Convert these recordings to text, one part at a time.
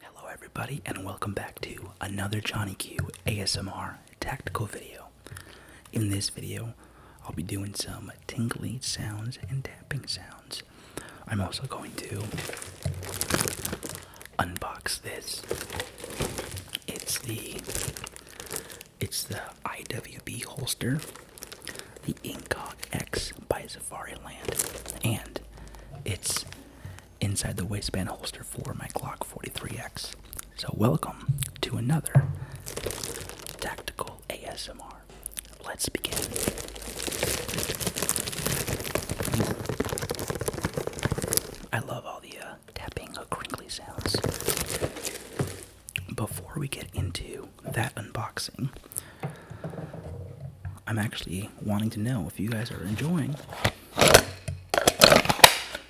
Hello, everybody, and welcome back to another Johnny Q ASMR tactical video. In this video, I'll be doing some tingly sounds and tapping sounds. I'm also going to unbox this. It's the it's the IWB holster, the Incog X by Safari Land, and it's inside the waistband holster for my Glock 43X. So, welcome to another tactical ASMR. Let's begin. I love all the uh, tapping or crinkly sounds. Before we get into that unboxing, I'm actually wanting to know if you guys are enjoying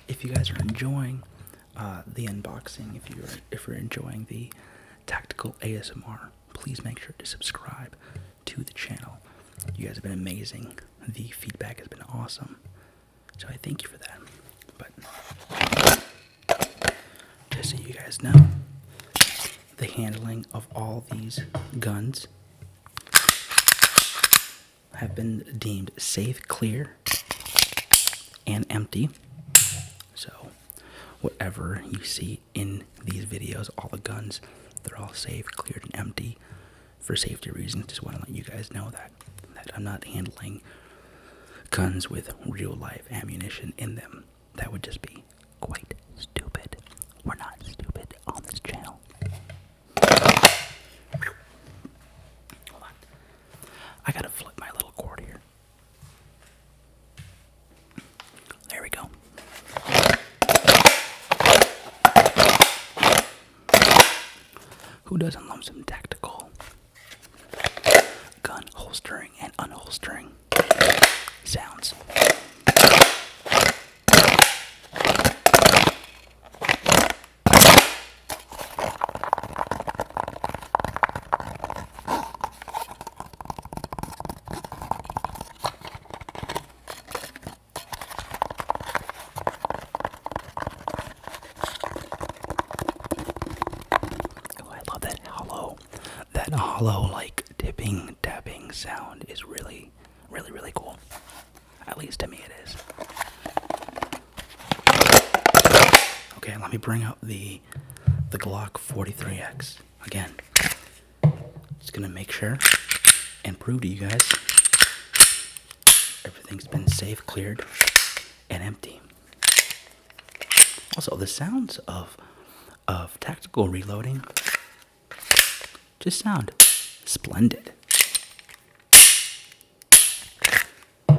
if you guys are enjoying uh, the unboxing, if you're if you're enjoying the tactical ASMR, please make sure to subscribe to the channel. You guys have been amazing. The feedback has been awesome. So I thank you for that. But just so you guys know, the handling of all these guns have been deemed safe, clear, and empty. So, whatever you see in these videos, all the guns, they're all safe, cleared, and empty for safety reasons. Just want to let you guys know that that I'm not handling guns with real life ammunition in them. That would just be quite stupid. We're not stupid on this channel. I gotta flip my little cord here. There we go. Who doesn't love some tactical gun holstering and unholstering sounds? Oh, I love that hollow, that hollow like dipping, dabbing sound is really really, really, cool. At least to me it is. Okay, let me bring up the the Glock 43X again. Just gonna make sure and prove to you guys everything's been safe, cleared, and empty. Also, the sounds of of tactical reloading just sound. Splendid. I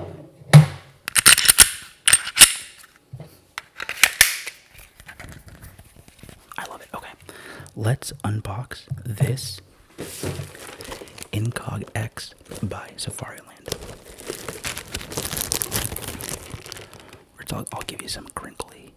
love it. Okay. Let's unbox this Incog X by Safariland. Or I'll give you some crinkly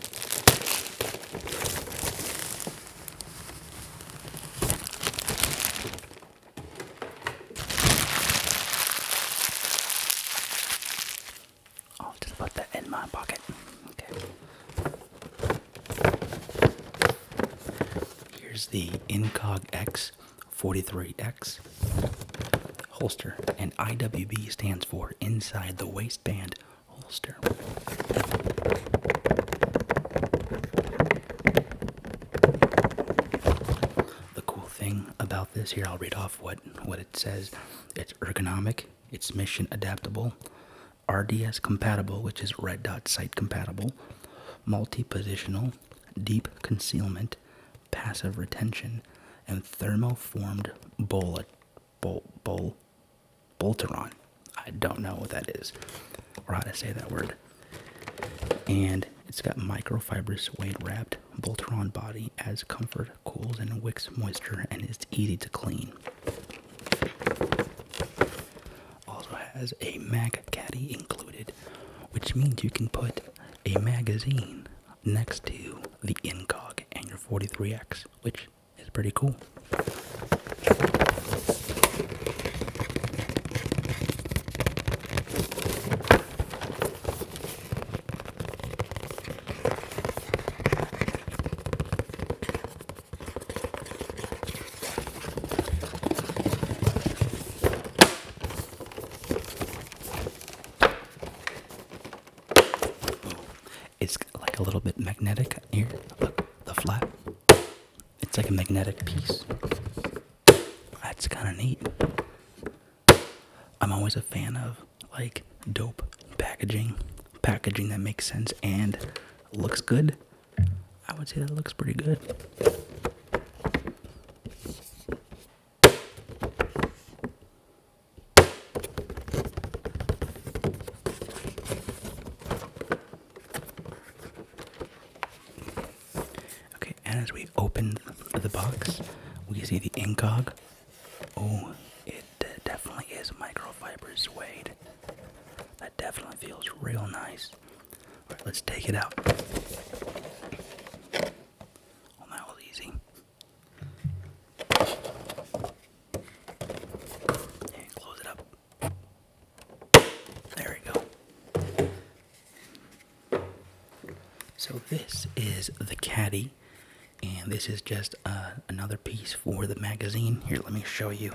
I'll oh, just put that in my pocket. Okay. Here's the Incog X 43X holster, and IWB stands for inside the waistband holster. The cool thing about this here, I'll read off what what it says. It's ergonomic, it's mission adaptable, RDS compatible, which is red dot sight compatible, multi-positional, deep concealment, passive retention, and thermoformed bol bol bol bolteron. I don't know what that is or how to say that word. And it's got microfibrous weight wrapped bolteron body as comfort, cools and wicks moisture, and is easy to clean. Also has a mag caddy included, which means you can put a magazine next to the incog and your 43x which is pretty cool it's like a little bit magnetic here. Look, the flap. It's like a magnetic piece. That's kind of neat. I'm always a fan of like dope packaging, packaging that makes sense and looks good. I would say that looks pretty good. Okay, and as we open the box, we see the incog. Oh, it definitely is microfiber suede. That definitely feels real nice. let's take it out. Well, that was easy close it up. There we go. So this is the caddy, and this is just uh, another piece for the magazine. Here, let me show you.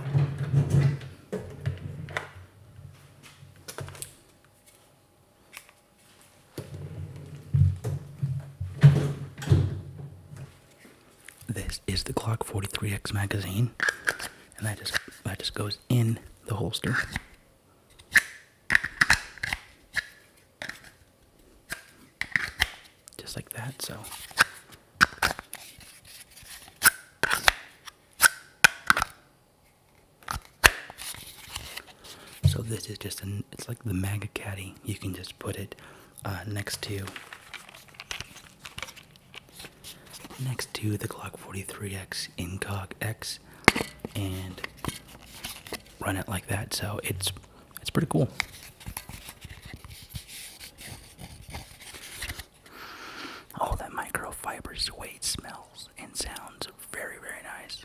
This is the Glock 43X magazine, and that just that just goes in the holster. Just like that, so So this is just a it's like the MAGA caddy. You can just put it uh, next to next to the Glock 43X Incog X and run it like that. So it's it's pretty cool. Oh, that microfiber suede smells and sounds very, very nice.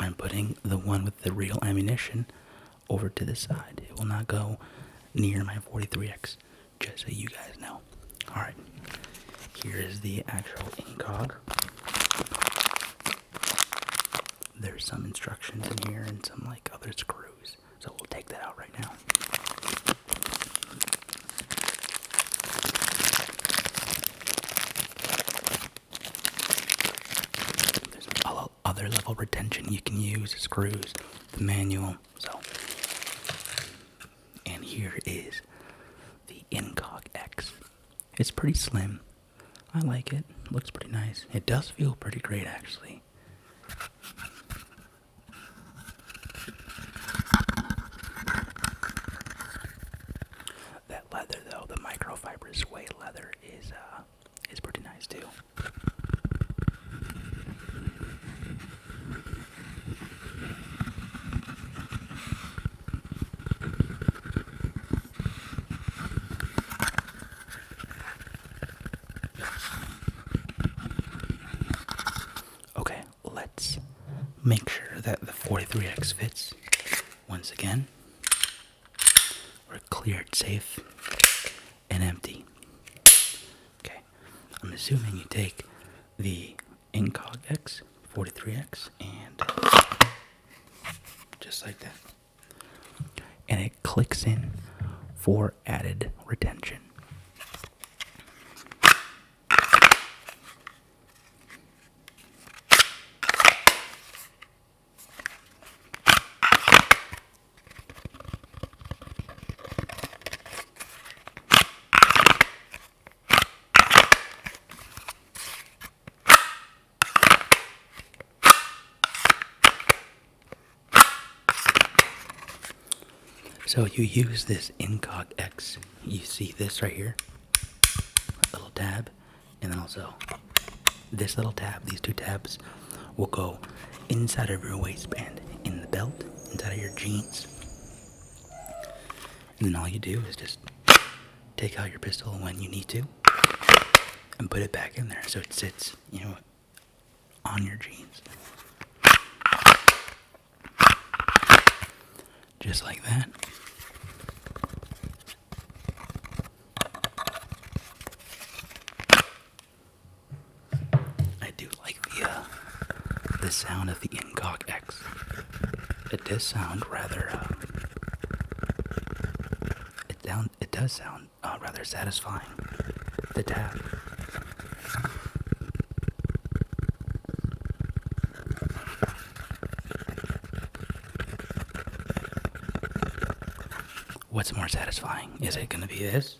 I'm putting the one with the real ammunition over to the side. It will not go near my 43x, just so you guys know. Alright, here is the actual incog. There's some instructions in here and some like other screws, so we'll take that out right now other level retention you can use, screws, the manual. So, and here is the Incog X. It's pretty slim. I like it. Looks pretty nice. It does feel pretty great, actually leather though, the microfiber suede leather is uh is pretty nice too. Okay, let's make sure that the 43X fits. Once again, we're cleared safe and empty. Okay, I'm assuming you take the Incog X, 43X, and just like that. And it clicks in for added retention. So you use this Incog X. You see this right here? A little tab and then also this little tab these two tabs will go inside of your waistband in the belt inside of your jeans and then all you do is just take out your pistol when you need to and put it back in there so it sits you know on your jeans just like that. I do like the uh, the sound of the Incock X. It does sound rather. Uh, it down. It does sound uh, rather satisfying. The tap. What's more satisfying? Is it going to be this?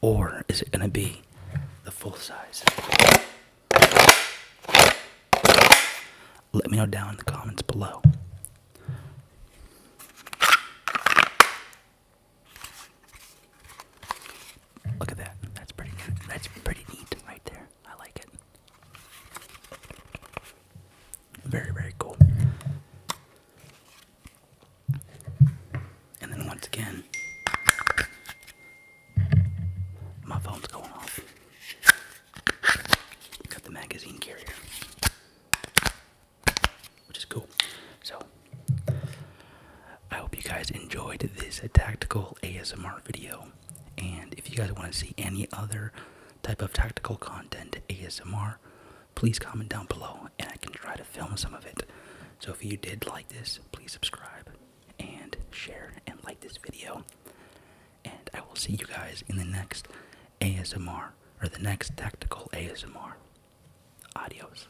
Or is it going to be the full size? Let me know down in the comments below. Look at that. That's pretty That's pretty neat right there. I like it. Very, very cool. And then once again, my phone's going off. Got the magazine carrier, which is cool. So I hope you guys enjoyed this tactical ASMR video. And if you guys want to see any other type of tactical content ASMR, please comment down below and I can try to film some of it. So if you did like this, please subscribe and share and like this video. And I will see you guys in the next ASMR or the next tactical ASMR. Adios.